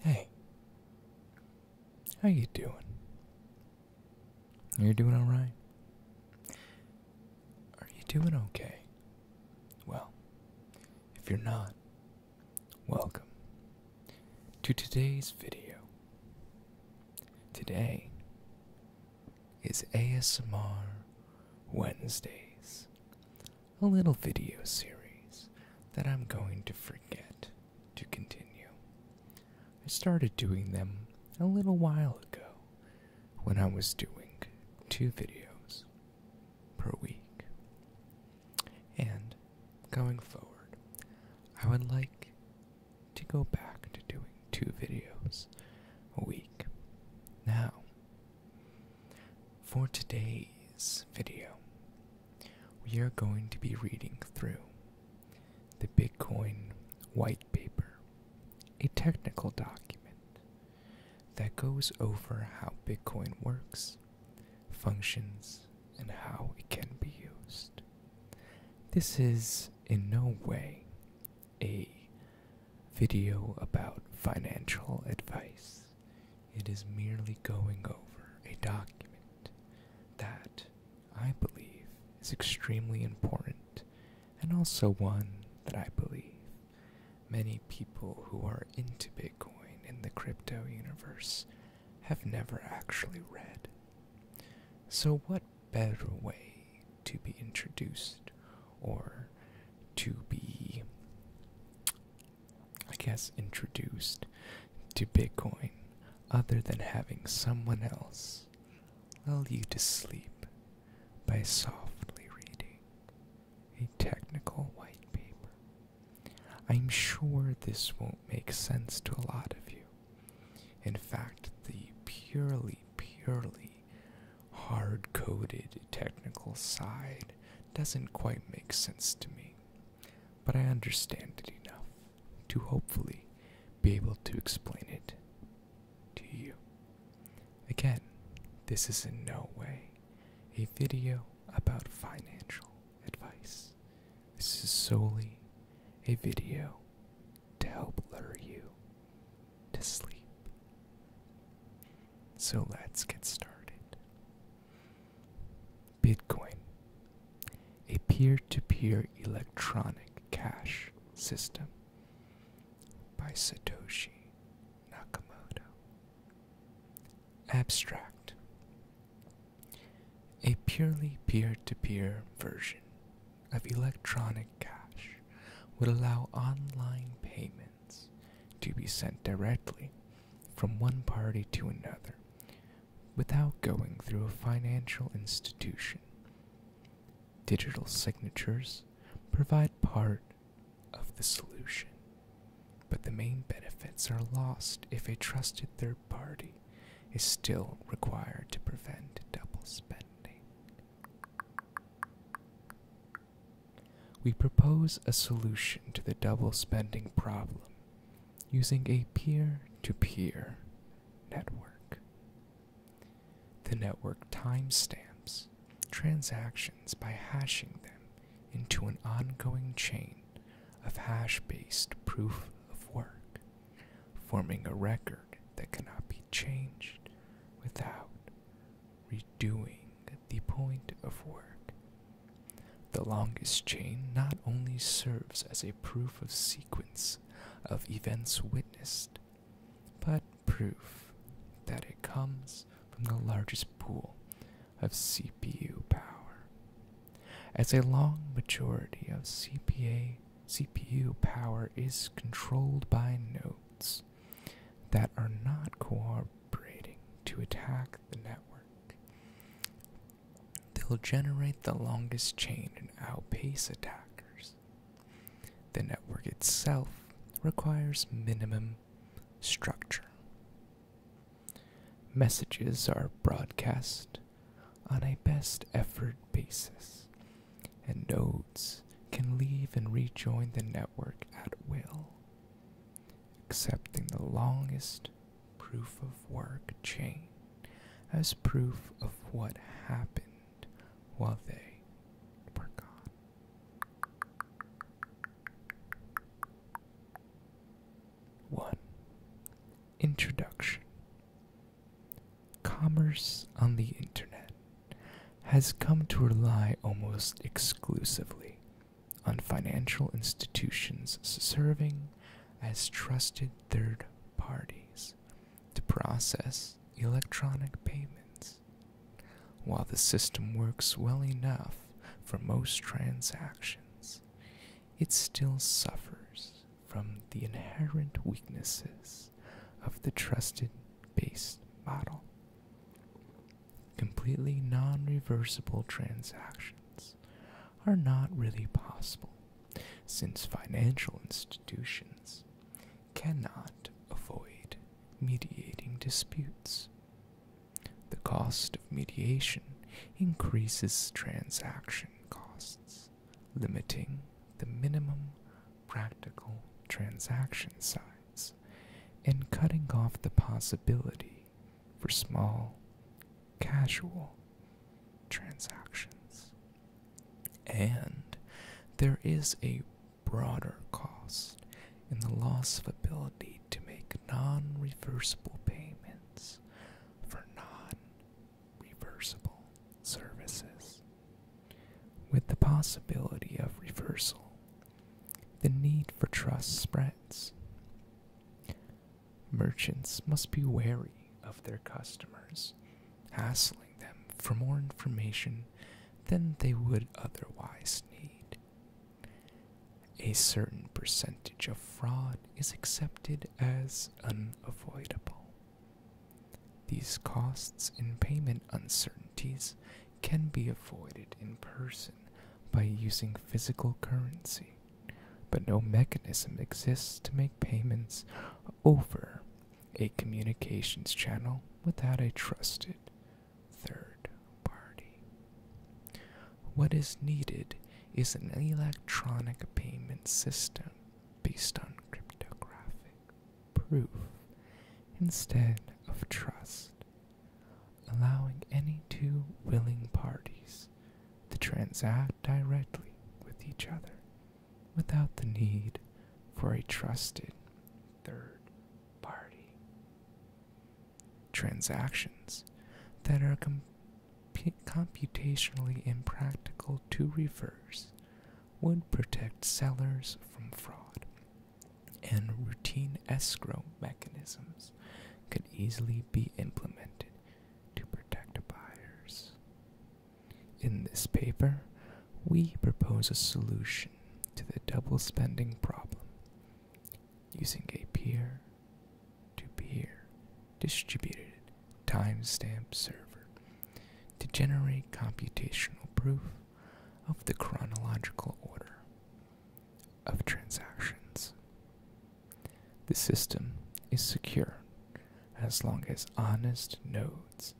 Hey. How you doing? You're doing all right? Are you doing okay? Well, if you're not, welcome to today's video. Today is ASMR Wednesdays a little video series that I'm going to forget to continue. I started doing them a little while ago when I was doing two videos per week. And going forward, I would like to go back to doing two videos a week. Now, for today's video, we are going to be reading through the Bitcoin White Paper, a technical document that goes over how Bitcoin works, functions, and how it can be used. This is in no way a video about financial advice. It is merely going over a document that I believe is extremely important and also one that I believe many people who are into Bitcoin in the crypto universe have never actually read. So, what better way to be introduced or to be I guess, introduced to Bitcoin other than having someone else lull you to sleep by softly reading a technical white paper. I'm sure this won't make sense to a lot of you. In fact, the purely, purely hard coded technical side doesn't quite make sense to me, but I understand it enough to hopefully be able to explain it to you. Again, this is in no way a video about financial advice. This is solely a video to help lure you to sleep. So let's get started. Bitcoin, a peer to peer electronic cash system by Satoshi Nakamoto. Abstract, a purely peer to peer version of electronic cash would allow online payments to be sent directly from one party to another without going through a financial institution. Digital signatures provide part of the solution, but the main benefits are lost if a trusted third party is still required to prevent double spending. We propose a solution to the double spending problem using a peer to peer network. The network timestamps transactions by hashing them into an ongoing chain of hash based proof of work, forming a record that cannot be changed without redoing the point of work. The longest chain not only serves as a proof of sequence of events witnessed, but proof that it comes from the largest pool of CPU power. As a long majority of CPA, CPU power is controlled by nodes, that are not cooperating to attack the network. They'll generate the longest chain and outpace attackers. The network itself requires minimum structure. Messages are broadcast on a best effort basis, and nodes can leave and rejoin the network at will accepting the longest proof of work chain as proof of what happened while they were gone. One Introduction Commerce on the internet has come to rely almost exclusively on financial institutions serving as trusted third parties to process electronic payments. While the system works well enough for most transactions, it still suffers from the inherent weaknesses of the trusted based model completely non reversible transactions are not really possible since financial institutions cannot avoid mediating disputes. The cost of mediation increases transaction costs, limiting the minimum practical transaction size us and cutting off the possibility for small, casual transactions. And there is a broader cost in the loss of ability to make non reversible payments for non reversible services. With the possibility of reversal the need for trust spreads. Merchants must be wary of their customers, hassling them for more information than they would otherwise need. A certain percentage of fraud is accepted as unavoidable. These costs in payment uncertainties can be avoided in person by using physical currency, but no mechanism exists to make payments over a communications channel without a trusted third party. What is needed is an electronic payment system based on cryptographic proof instead of trust allowing any two willing parties to transact directly with each other without the need for a trusted third party. Transactions that are computationally impractical to reverse would protect sellers from fraud and routine escrow mechanisms could easily be implemented to protect buyers. In this paper, we propose a solution to the double spending problem using a peer to peer distributed timestamp server to generate computational proof of the chronological order of transactions. The system is secure as long as honest nodes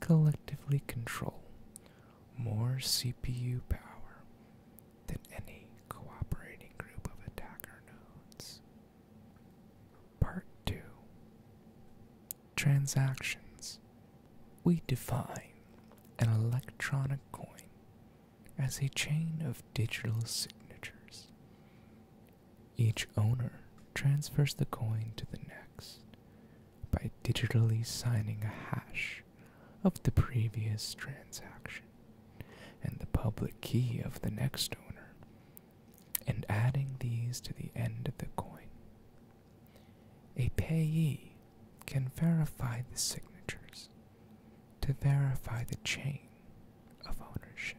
collectively control more CPU power than any cooperating group of attacker nodes. Part 2 Transactions we define an electronic coin as a chain of digital signatures. Each owner transfers the coin to the next by digitally signing a hash of the previous transaction and the public key of the next owner and adding these to the end of the coin. A payee can verify the signatures to verify the chain of ownership.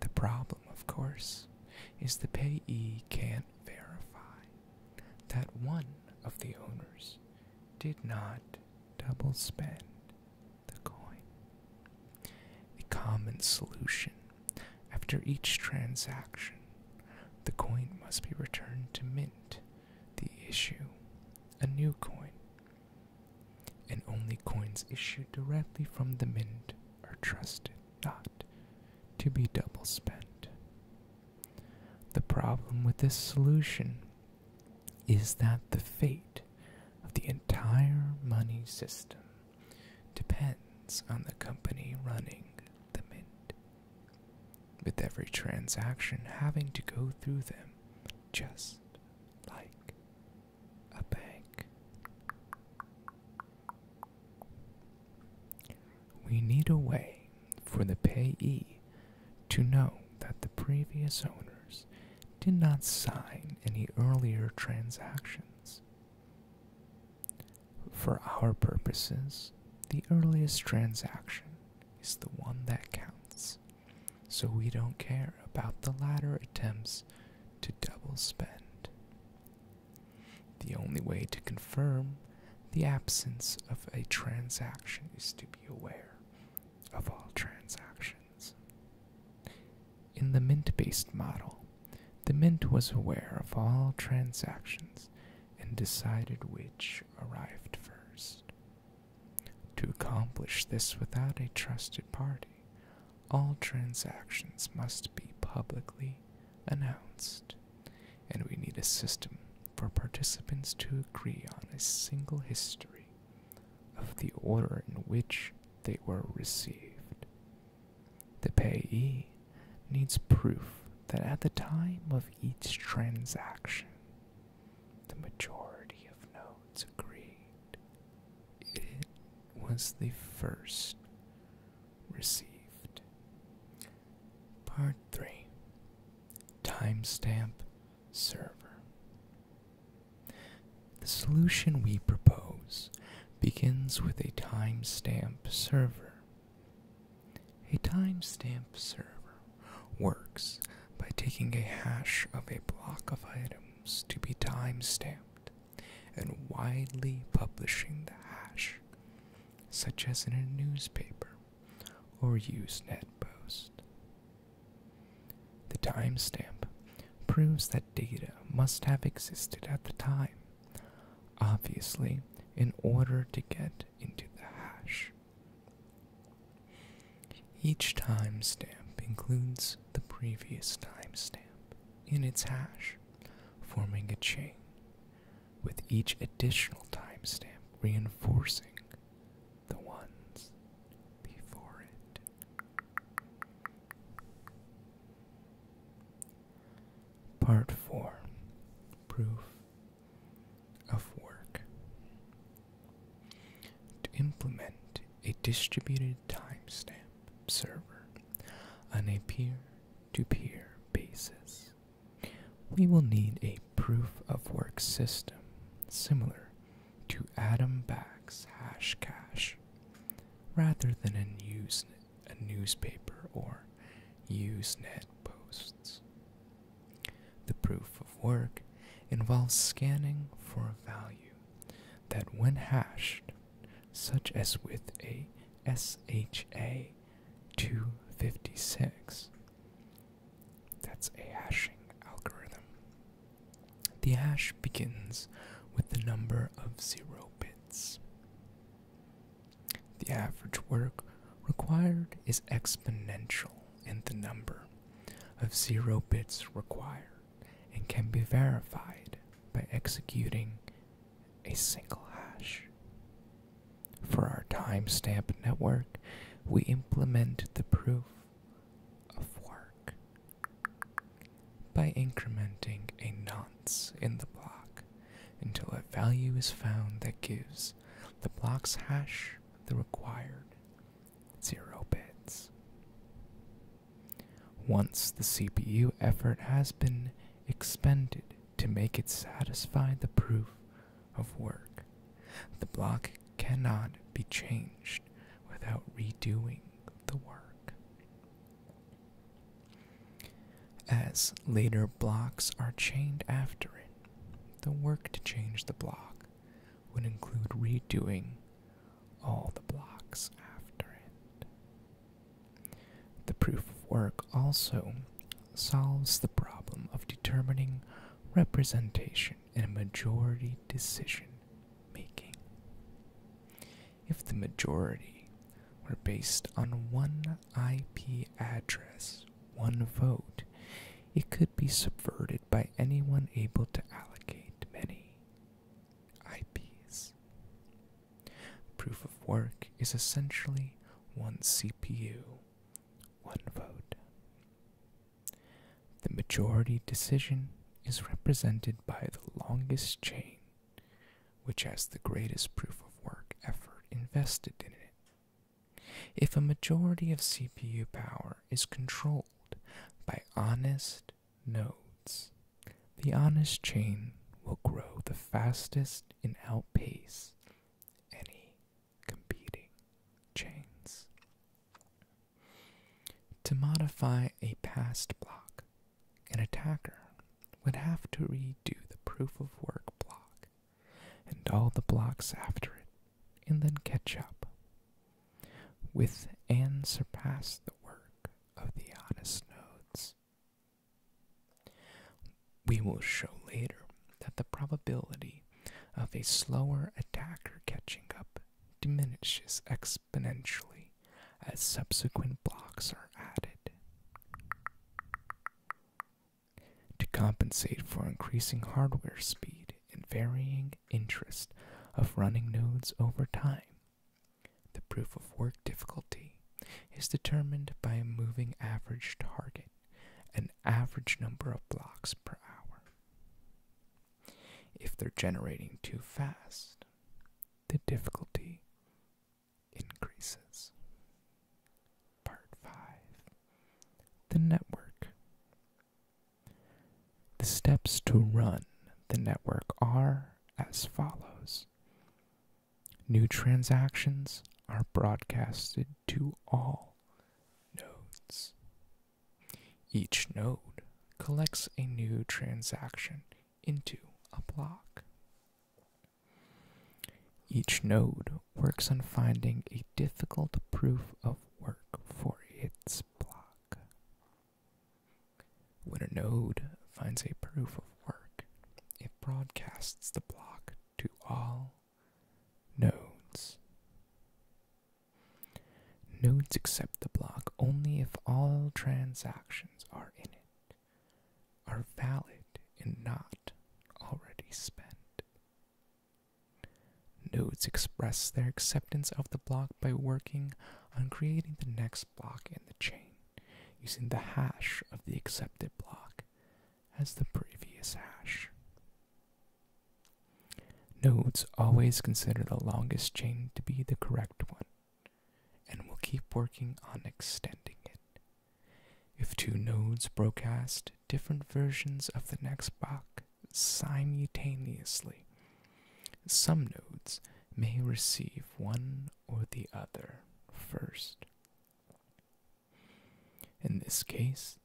The problem, of course, is the payee can't verify that one of the owners did not double spend the coin. A common solution after each transaction, the coin must be returned to mint the issue a new coin and only coins issued directly from the mint are trusted not to be double spent the problem with this solution is that the fate of the entire money system depends on the company running the mint with every transaction having to go through them just like a bank. We need a way for the payee to know that the previous owners did not sign any earlier transactions. For our purposes, the earliest transaction is the one that counts, so we don't care about the latter attempts to double spend. The only way to confirm the absence of a transaction is to be aware of all transactions. In the mint based model, the mint was aware of all transactions and decided which arrived first. To accomplish this without a trusted party, all transactions must be publicly announced, and we need a system for participants to agree on a single history of the order in which they were received. The payee needs proof that at the time of each transaction, the majority of nodes agreed it was the first received. Part 3 Timestamp Server. The solution we propose begins with a timestamp server a timestamp server works by taking a hash of a block of items to be timestamped and widely publishing the hash, such as in a newspaper or Usenet post. The timestamp proves that data must have existed at the time, obviously, in order to get into the hash. Each timestamp includes the previous timestamp in its hash, forming a chain, with each additional timestamp reinforcing the ones before it. Part 4 Proof of work. To implement a distributed timestamp server on a peer to peer basis, we will need a proof of work system similar to Adam Back's Hashcash rather than a Usenet a newspaper or Usenet posts. The proof of work involves scanning for a value that, when hashed, such as with a SHA 256, that's a hashing algorithm. The hash begins with the number of zero bits. The average work required is exponential in the number of zero bits required and can be verified by executing a single hash. For our timestamp network, we implement the proof of work by incrementing a non in the block until a value is found that gives the block's hash the required zero bits. Once the CPU effort has been expended to make it satisfy the proof of work, the block cannot be changed without redoing the work. As later blocks are chained after it, the work to change the block would include redoing all the blocks after it. The proof of work also solves the problem of determining representation in majority decision making. If the majority were based on one IP address, one vote, it could be subverted by anyone able to allocate many IPs. Proof of work is essentially one CPU, one vote. The majority decision is represented by the longest chain, which has the greatest proof of work effort invested in it. If a majority of CPU power is controlled by honest nodes, the honest chain will grow the fastest and outpace any competing chains. To modify a past block, an attacker would have to redo the proof of work block and all the blocks after it, and then catch up with and surpass the work of the honest nodes. We will show later that the probability of a slower attacker catching up diminishes exponentially as subsequent blocks are added to compensate for increasing hardware speed and varying interest of running nodes over time. The proof of work difficulty is determined by a moving average target, an average number of blocks per hour. If they're generating too fast, the difficulty increases. Part 5 The Network. The steps to run the network are as follows New transactions are broadcasted to all nodes. Each node collects a new transaction into a block. Each node works on finding a difficult proof of work for its block. When a node finds a proof of work, it broadcasts the block to all nodes. Nodes accept the block only if all transactions are in it are valid and not already spent. Nodes express their acceptance of the block by working on creating the next block in the chain using the hash of the accepted block as the previous hash. Nodes always consider the longest chain to be the correct one and will keep working on extending it if two nodes broadcast different versions of the next block simultaneously, some nodes may receive one or the other first. In this case,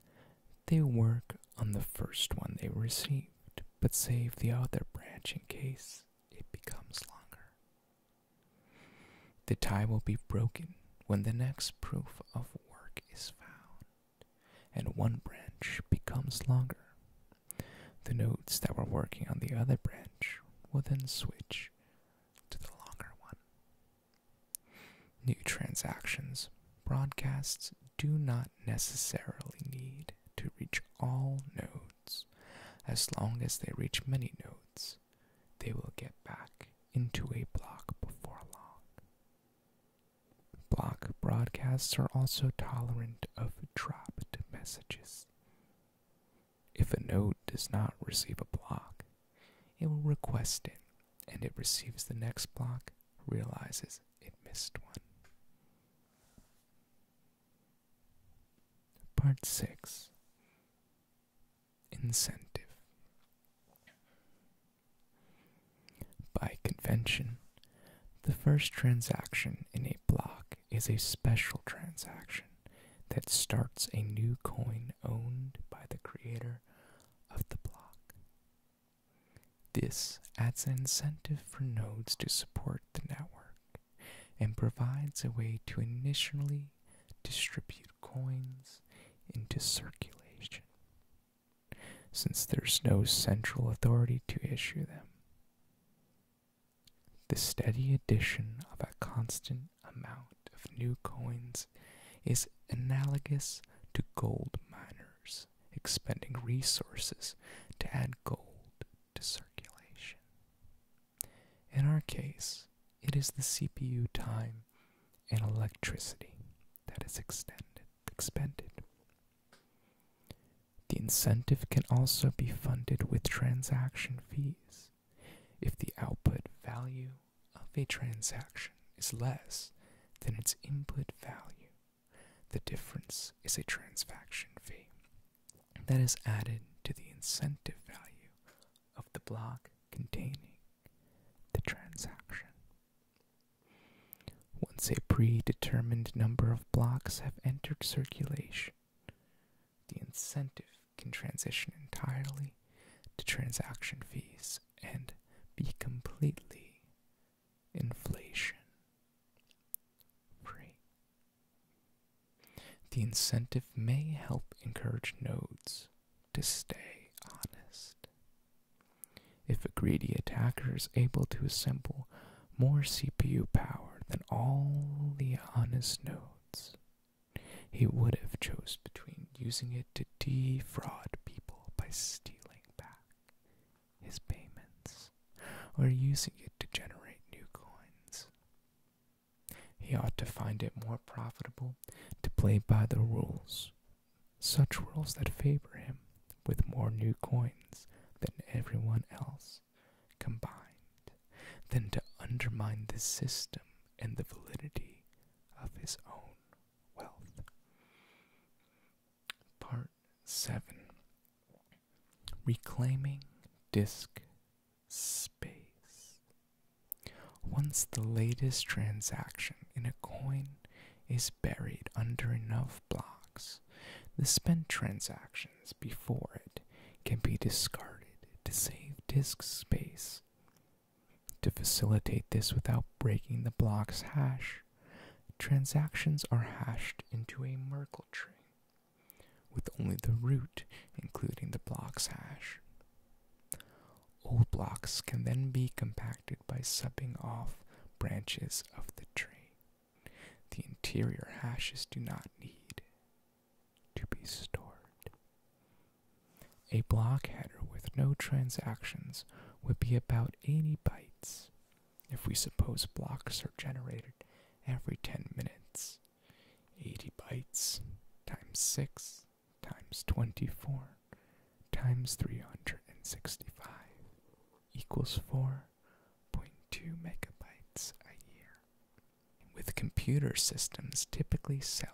they work on the first one they received, but save the other branch in case it becomes longer. The tie will be broken when the next proof of work is found, and one branch becomes longer. The nodes that were working on the other branch will then switch to the longer one. New transactions broadcasts do not necessarily need to reach all nodes as long as they reach many nodes they will get back into a block before long. Block broadcasts are also tolerant of dropped messages. If a node does not receive a block, it will request it and it receives the next block, realizes it missed one. Part 6 incentive. By convention, the first transaction in a block is a special transaction that starts a new coin owned by the creator of the block. This adds an incentive for nodes to support the network and provides a way to initially distribute coins into circulation, since there's no central authority to issue them. The steady addition of a constant amount of new coins is analogous to gold miners expending resources to add gold to circulation. In our case, it is the CPU time and electricity that is extended, expended. The incentive can also be funded with transaction fees. If the output value of a transaction is less than its input value, the difference is a transaction fee that is added to the incentive value of the block containing the transaction. Once a predetermined number of blocks have entered circulation, the incentive can transition entirely to transaction fees and be completely inflation free. The incentive may help encourage nodes to stay honest. If a greedy attacker is able to assemble more CPU power than all the honest nodes, he would have chose between using it to defraud people by stealing back his payments or using it to generate new coins. He ought to find it more profitable to play by the rules, such rules that favor him with more new coins than everyone else combined, than to undermine the system and the validity of his own wealth. Part 7 Reclaiming Disc space. Once the latest transaction in a coin is buried under enough blocks, the spent transactions before it can be discarded to save disk space. To facilitate this without breaking the block's hash, transactions are hashed into a Merkle tree with only the root, including the blocks hash. old blocks can then be compacted by subbing off branches of the tree. The interior hashes do not need to be stored. A block header with no transactions would be about 80 bytes if we suppose blocks are generated every 10 minutes. 80 bytes times 6 times 24 times 365 equals 4.2 megabytes a year. With computer systems typically selling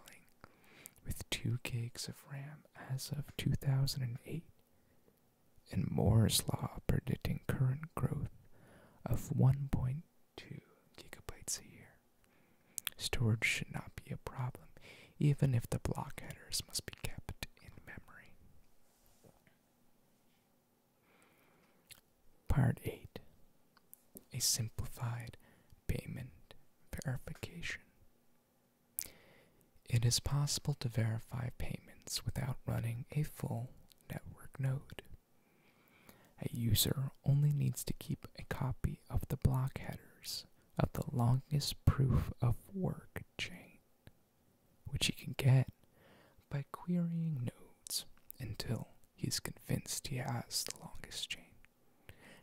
with 2 gigs of RAM as of 2008, and Moore's Law predicting current growth of 1.2 gigabytes a year. Storage should not be a problem, even if the block headers must be kept in memory. Part 8 A Simplified Payment Verification. It is possible to verify payments without running a full network node. A user only needs to keep a copy of the block headers of the longest proof of work chain, which he can get by querying nodes until he's convinced he has the longest chain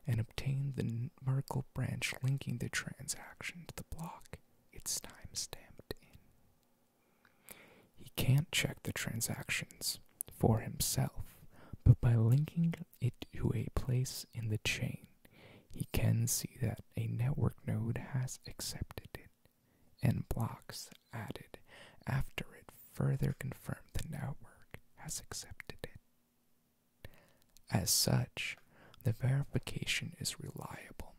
and obtain the Merkle branch linking the transaction to the block it's timestamped in. He can't check the transactions for himself, but by linking it to a place in the chain, he can see that a network node has accepted it and blocks added after it further confirm the network has accepted it. As such, the verification is reliable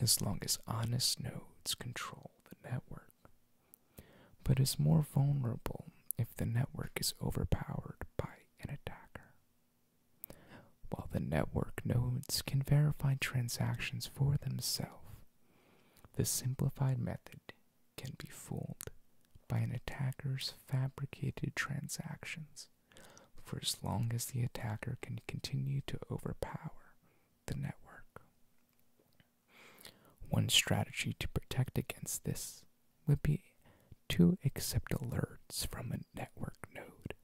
as long as honest nodes control the network but is more vulnerable if the network is overpowered by an attacker. While the network nodes can verify transactions for themselves, the simplified method can be fooled by an attacker's fabricated transactions for as long as the attacker can continue to overpower the network. One strategy to protect against this would be to accept alerts from a network node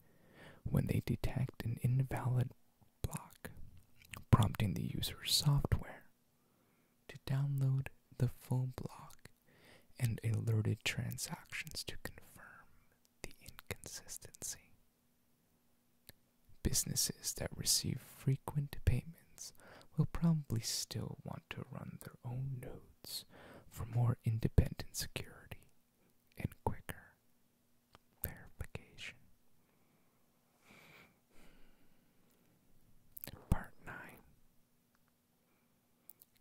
when they detect an invalid block, prompting the user's software to download the full block and alerted transactions to confirm the inconsistency. Businesses that receive frequent payments will probably still want to run their own nodes for more independent security and quicker verification. Part 9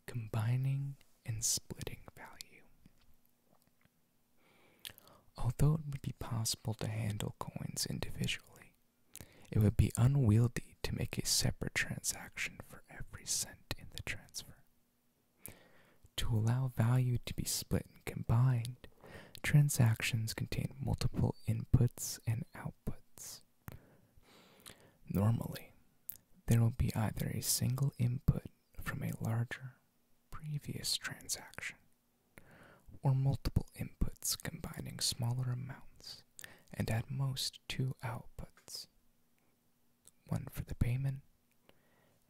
Combining and splitting value. Although it would be possible to handle coins individually, it would be unwieldy to make a separate transaction for every cent in the transfer. To allow value to be split and combined, transactions contain multiple inputs and outputs. Normally, there will be either a single input from a larger previous transaction or multiple inputs combining smaller amounts and at most two outputs one for the payment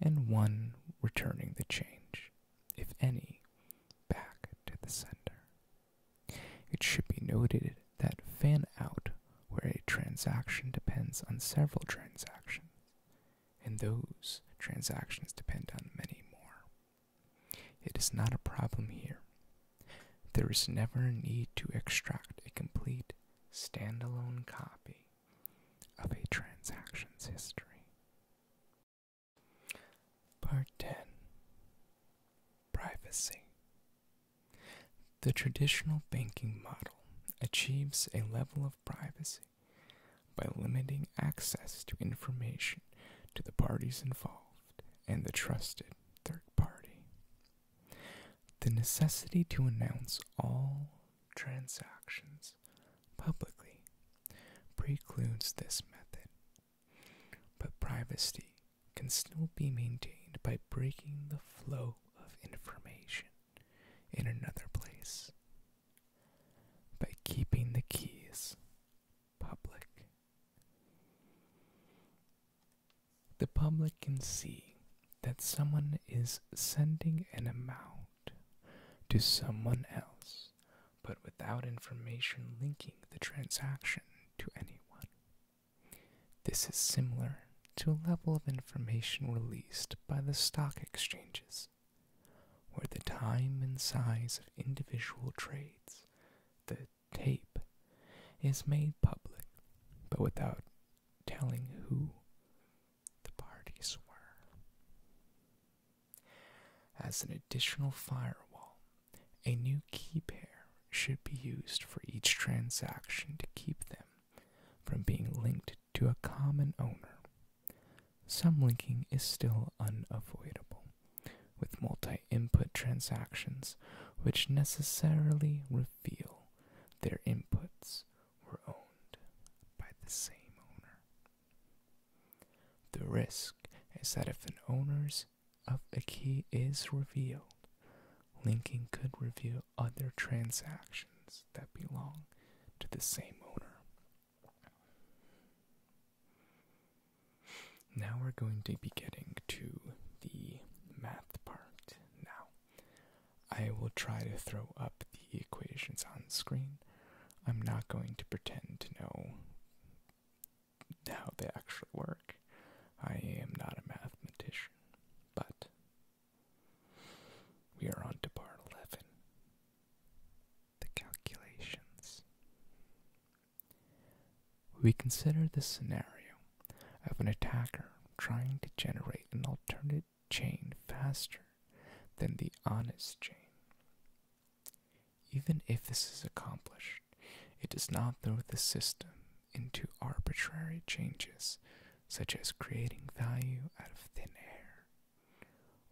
and one returning the change, if any, back to the sender. It should be noted that fan out, where a transaction depends on several transactions, and those transactions depend on many more. It is not a problem here. There is never a need to extract a complete standalone copy of a transaction's history. Part 10 Privacy The traditional banking model achieves a level of privacy by limiting access to information to the parties involved and the trusted third party. The necessity to announce all transactions publicly precludes this method, but privacy can still be maintained by breaking the flow of information in another place. By keeping the keys public. The public can see that someone is sending an amount to someone else, but without information linking the transaction to anyone. This is similar to a level of information released by the stock exchanges where the time and size of individual trades. The tape is made public, but without telling who the parties were. As an additional firewall, a new key pair should be used for each transaction to keep them from being linked to a common owner. Some linking is still unavoidable, with multi input transactions which necessarily reveal their inputs were owned by the same owner. The risk is that if an owner's of a key is revealed, linking could reveal other transactions that belong to the same owner. Now we're going to be getting to the math part. Now, I will try to throw up the equations on screen. I'm not going to pretend to know how they actually work. I am not a mathematician, but we are on to part 11 the calculations. We consider the scenario of an attacker trying to generate an alternate chain faster than the honest chain. Even if this is accomplished, it does not throw the system into arbitrary changes, such as creating value out of thin air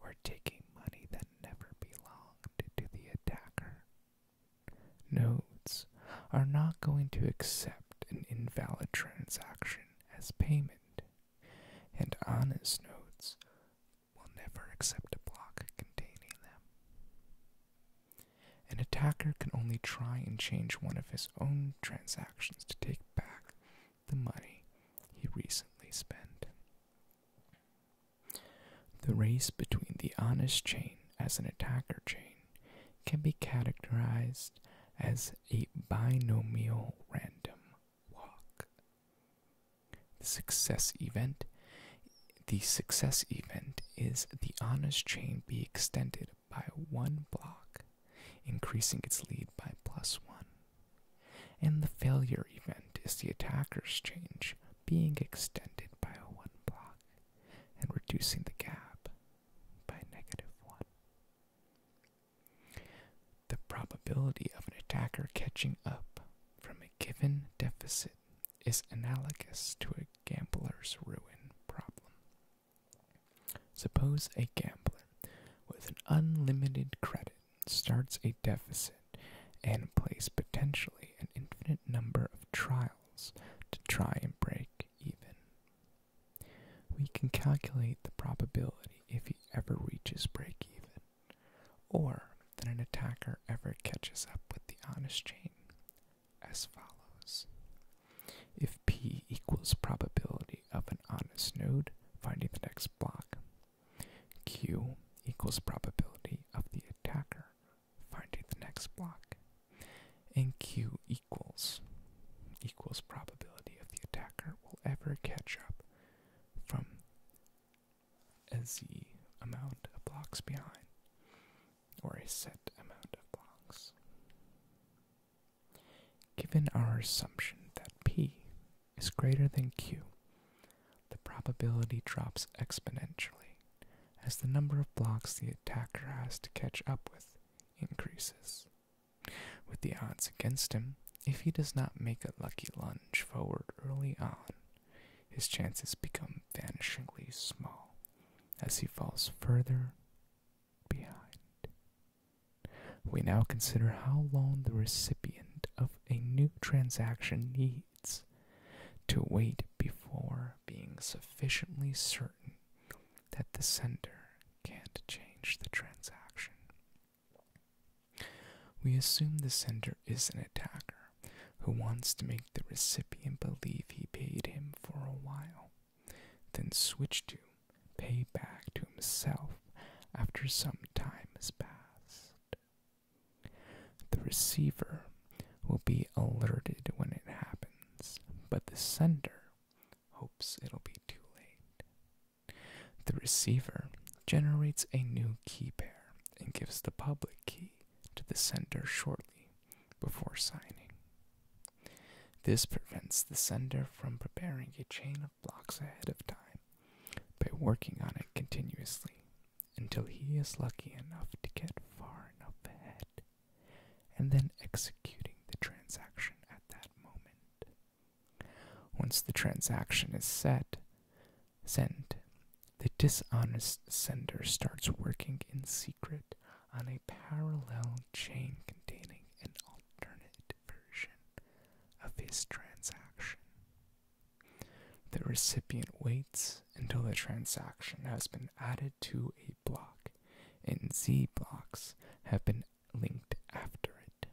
or taking money that never belonged to the attacker. Nodes are not going to accept an invalid transaction as payment, and honest nodes will never accept a block containing them. An attacker can only try and change one of his own transactions to take back the money he recently spent. The race between the honest chain as an attacker chain can be categorized as a binomial random walk. The success event the success event is the honest chain be extended by one block, increasing its lead by plus one. And the failure event is the attacker's change being extended by a 1 block and reducing the gap by negative 1. The probability of an attacker catching up from a given deficit is analogous to a gambler's ruin problem. Suppose a gambler with an unlimited credit starts a deficit and plays potentially an infinite number of trials to try and break even. We can calculate the probability if he ever reaches break even, or that an attacker ever catches up with the honest chain, as follows. If P equals probability of an honest node finding the next block, Q equals probability of the attacker finding the next block. And Q equals equals probability of the attacker will ever catch up from a Z amount of blocks behind, or a set amount of blocks. Given our assumption that P is greater than q, the probability drops exponentially as the number of blocks the attacker has to catch up with increases. With the odds against him, if he does not make a lucky lunge forward early on, his chances become vanishingly small as he falls further behind. We now consider how long the recipient of a new transaction needs to wait before being sufficiently certain that the sender can't change the transaction. We assume the sender is an attacker who wants to make the recipient believe he paid him for a while, then switch to pay back to himself after some time has passed. The receiver will be alerted when it happens, but the sender hopes it'll be too late. The receiver generates a new key pair and gives the public key to the sender shortly before signing. This prevents the sender from preparing a chain of blocks ahead of time by working on it continuously until he is lucky enough to get far enough ahead and then executing the transaction at that moment. Once the transaction is set, sent, the dishonest sender starts working in secret on a parallel chain containing an alternate version of his transaction. The recipient waits until the transaction has been added to a block and Z blocks have been linked after it.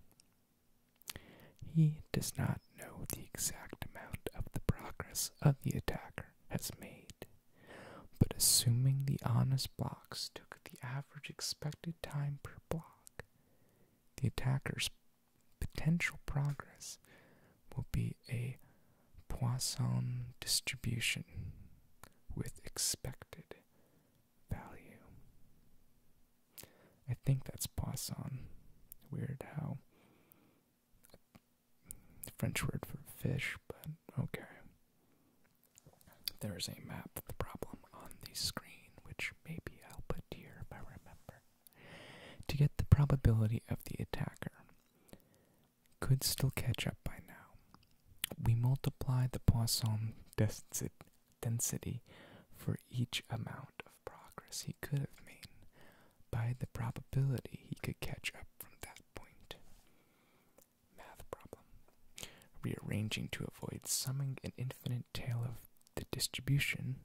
He does not know the exact amount of the progress of the attacker has made, but assuming the honest blocks took the average expected time per block, the attacker's potential progress will be a Poisson distribution with expected value. I think that's Poisson. Weird how French word for fish, but okay. There is a map of the problem on the screen, which maybe I'll put here if I remember to get the probability of the attacker. Could still catch up by now. We multiply the Poisson density for each amount of progress he could have made by the probability he could catch up from that point. Math problem. Rearranging to avoid summing an infinite tail of the distribution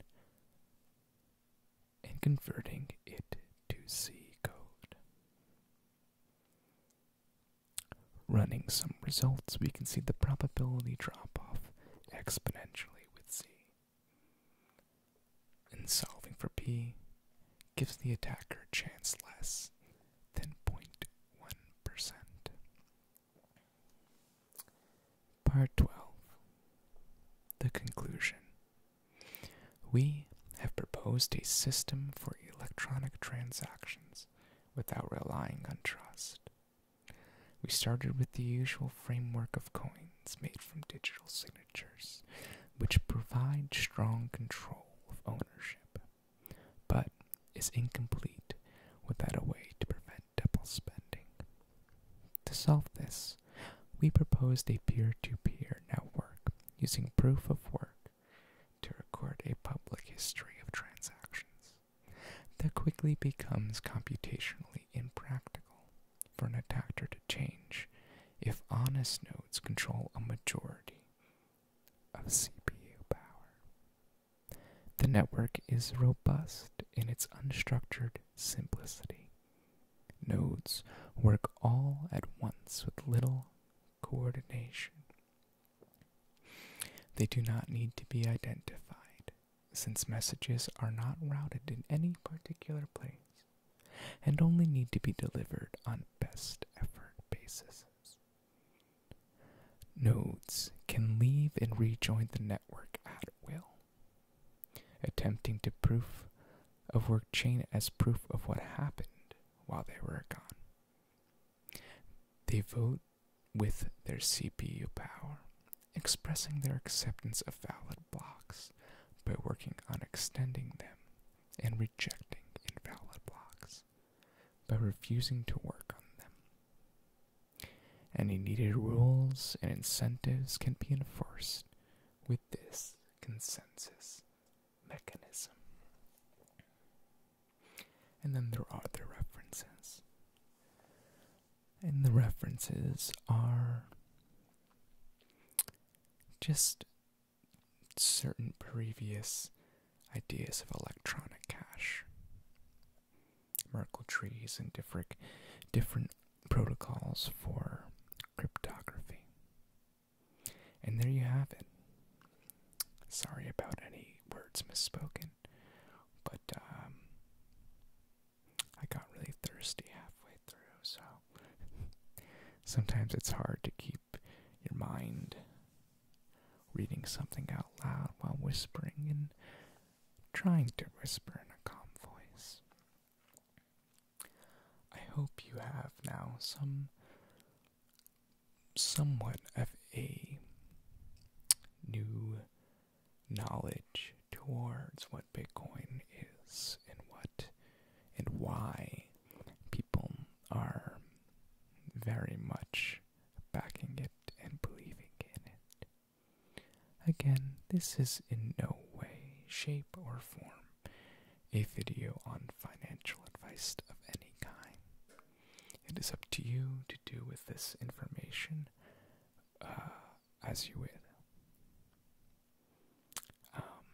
and converting it to C code. Running some results, we can see the probability drop off exponentially with C. And solving for P gives the attacker a chance less than 0.1%. Part 12 The Conclusion We have proposed a system for electronic transactions without relying on trust. We started with the usual framework of coins made from digital signatures, which provide strong control of ownership, but is incomplete without a way to prevent double spending. To solve this, we proposed a peer to peer network using proof of work to record a public history of transactions that quickly becomes computationally impractical for an attacker to change if honest nodes control a majority of CPU power. The network is robust in its unstructured simplicity. Nodes work all at once with little coordination. They do not need to be identified, since messages are not routed in any particular place and only need to be delivered on best effort basis. Nodes can leave and rejoin the network at will attempting to proof of work chain as proof of what happened while they were gone. They vote with their CPU power, expressing their acceptance of valid blocks by working on extending them and rejecting invalid blocks by refusing to work on them. Any needed rules and incentives can be enforced with this consensus mechanism. And then there are the references. And the references are just certain previous ideas of electronic cash. Merkle trees and different different protocols for cryptography. And there you have it. Sorry about any words misspoken, but um, I got really thirsty halfway through, so sometimes it's hard to keep your mind reading something out loud while whispering and trying to whisper in a calm voice. I hope you have now some somewhat of a new knowledge towards what Bitcoin is and what and why people are very much backing it and believing in it. Again, this is in no way, shape, or form a video on financial advice of any kind. It is up to you to do with this information uh, as you will. Um,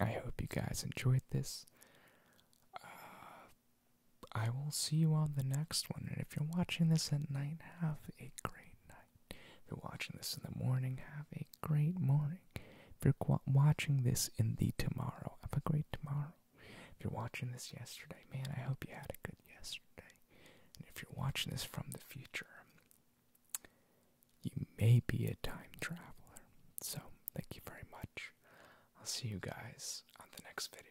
I hope you guys enjoyed this. Uh, I will see you on the next one, and if you're watching this at night, have a great if you're watching this in the morning, have a great morning. If you're watching this in the tomorrow, have a great tomorrow. If you're watching this yesterday, man, I hope you had a good yesterday. And if you're watching this from the future, you may be a time traveler. So, thank you very much. I'll see you guys on the next video.